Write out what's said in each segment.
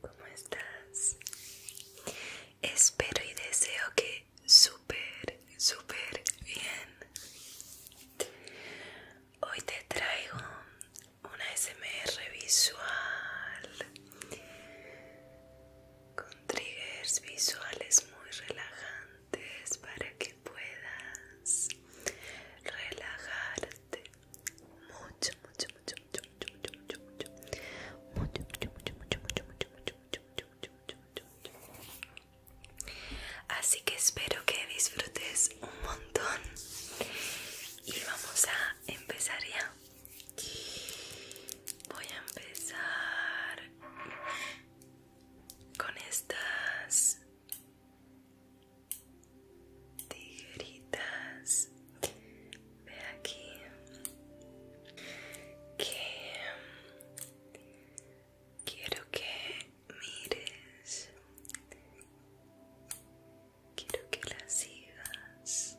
¿Cómo estás? Espero y deseo que súper, súper bien. Hoy te traigo una SMR visual con triggers visuales muy relajantes para que puedas relajarte mucho, mucho, Así que espero que disfrutes un montón y vamos a empezar ya. Voy a empezar con estas tijeritas ve aquí que quiero que mires quiero que las sigas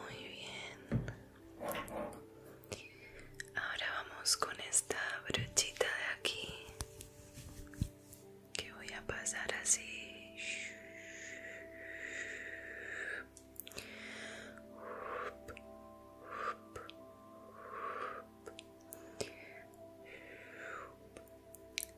Muy bien. Ahora vamos con esta brochita de aquí que voy a pasar así.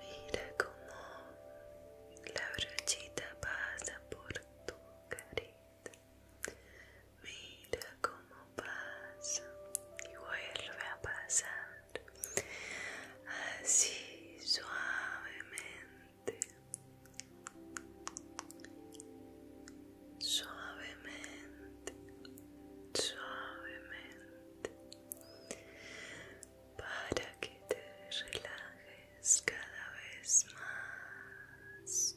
Mira como la brochita pasa por tu carita. Mira cómo pasa y vuelve a pasar así suavemente, suavemente, suavemente, para que te relajes cada vez más.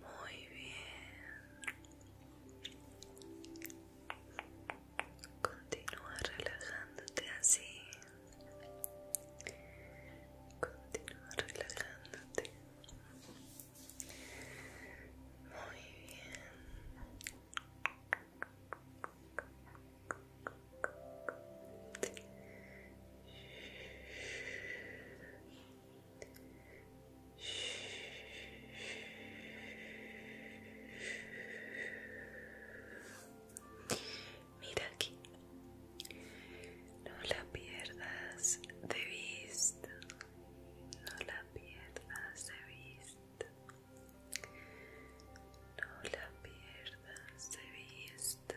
Muy bien. Continúa relajándote así. Continúa relajándote. Muy bien. Mira aquí, no la pierdas de vista, no la pierdas de vista, no la pierdas de vista.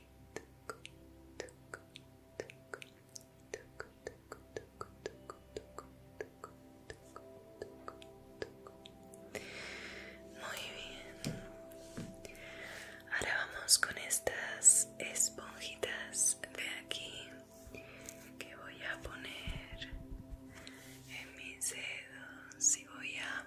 Muy bien. Ahora vamos con estas esponjitas de aquí que voy a poner en mis dedos y voy a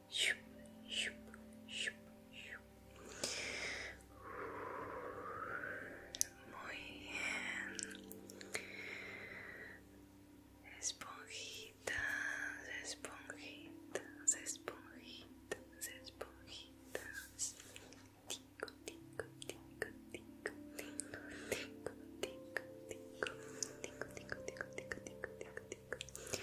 Shoop, shoop, shoop, shoop. Muy bien. Esponjitas, esponjitas, esponjitas, esponjitas. Tico, tico, tico, tico, tico, tico, tico, tico, tico, tico, tico,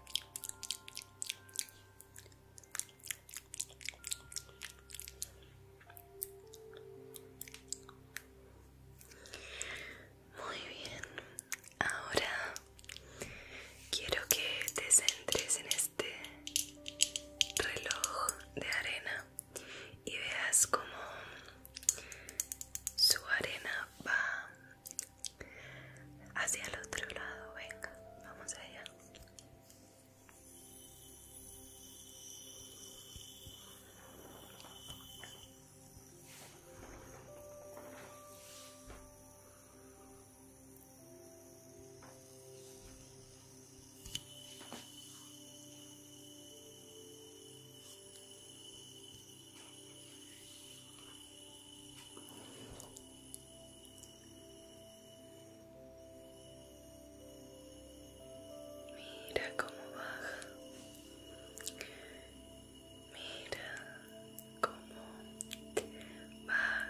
Muy bien, ahora quiero que te centres en este reloj de arena y veas cómo su arena va hacia el otro lado, venga, vamos allá. Mira cómo baja. Mira cómo baja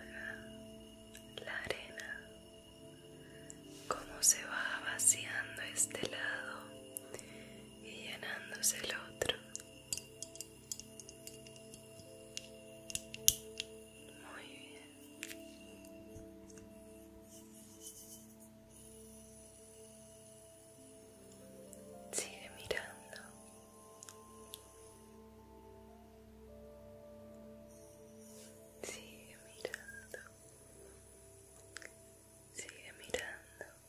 la arena. Cómo se va vaciando este lado y llenándose el otro. Muy bien. Sigue mirando. Sigue mirando. Sigue mirando.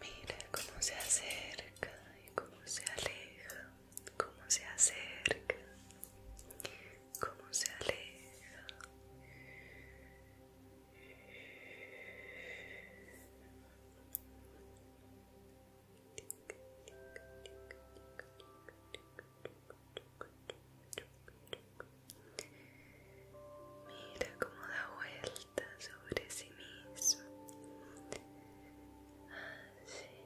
Mira cómo se acerca y cómo se aleja, cómo se acerca como se aleja Mira cómo da vuelta sobre sí mismo. Así. Ah,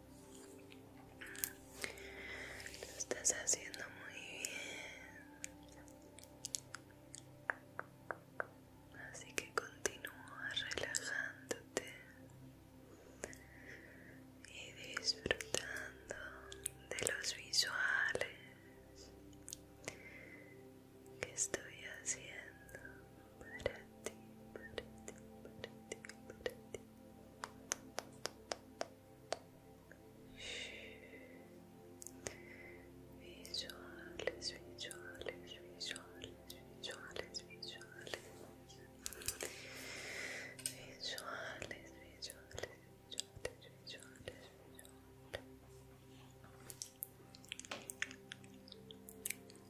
Lo estás haciendo muy bien. Así que continúa relajándote y disfrutando de los visuales que estoy haciendo para ti, para ti, para ti, para ti. Visuales, visuales, visuales, visuales, visuales. Visuales, visuales, visuales, visuales,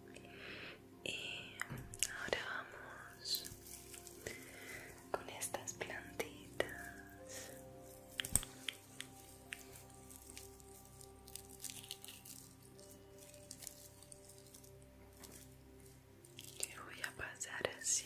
visuales. Y ahora vamos con estas plantitas. voy a pasar así.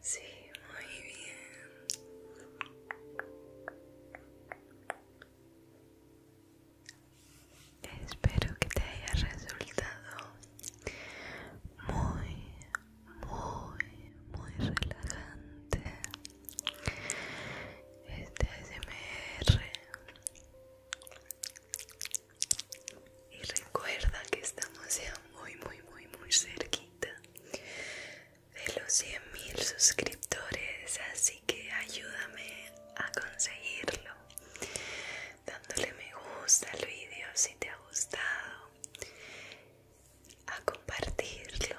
Sí, muy bien. Espero que te haya resultado muy, muy, muy relajante este ASMR. Y recuerda que estamos ya muy, muy, muy, muy cerca de los 100.000 suscriptores, así que ayúdame a conseguirlo dándole me gusta al vídeo si te ha gustado, a compartirlo,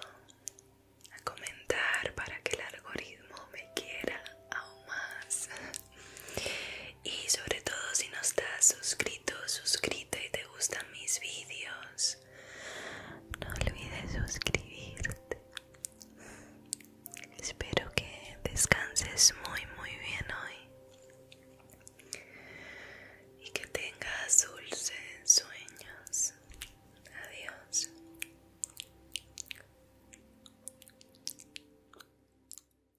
a comentar para que el algoritmo me quiera aún más y sobre todo si no estás suscrito, suscríbete y te gustan mis vídeos, no olvides suscribirte. Espero que descanses muy muy bien hoy y que tengas dulces sueños. Adiós.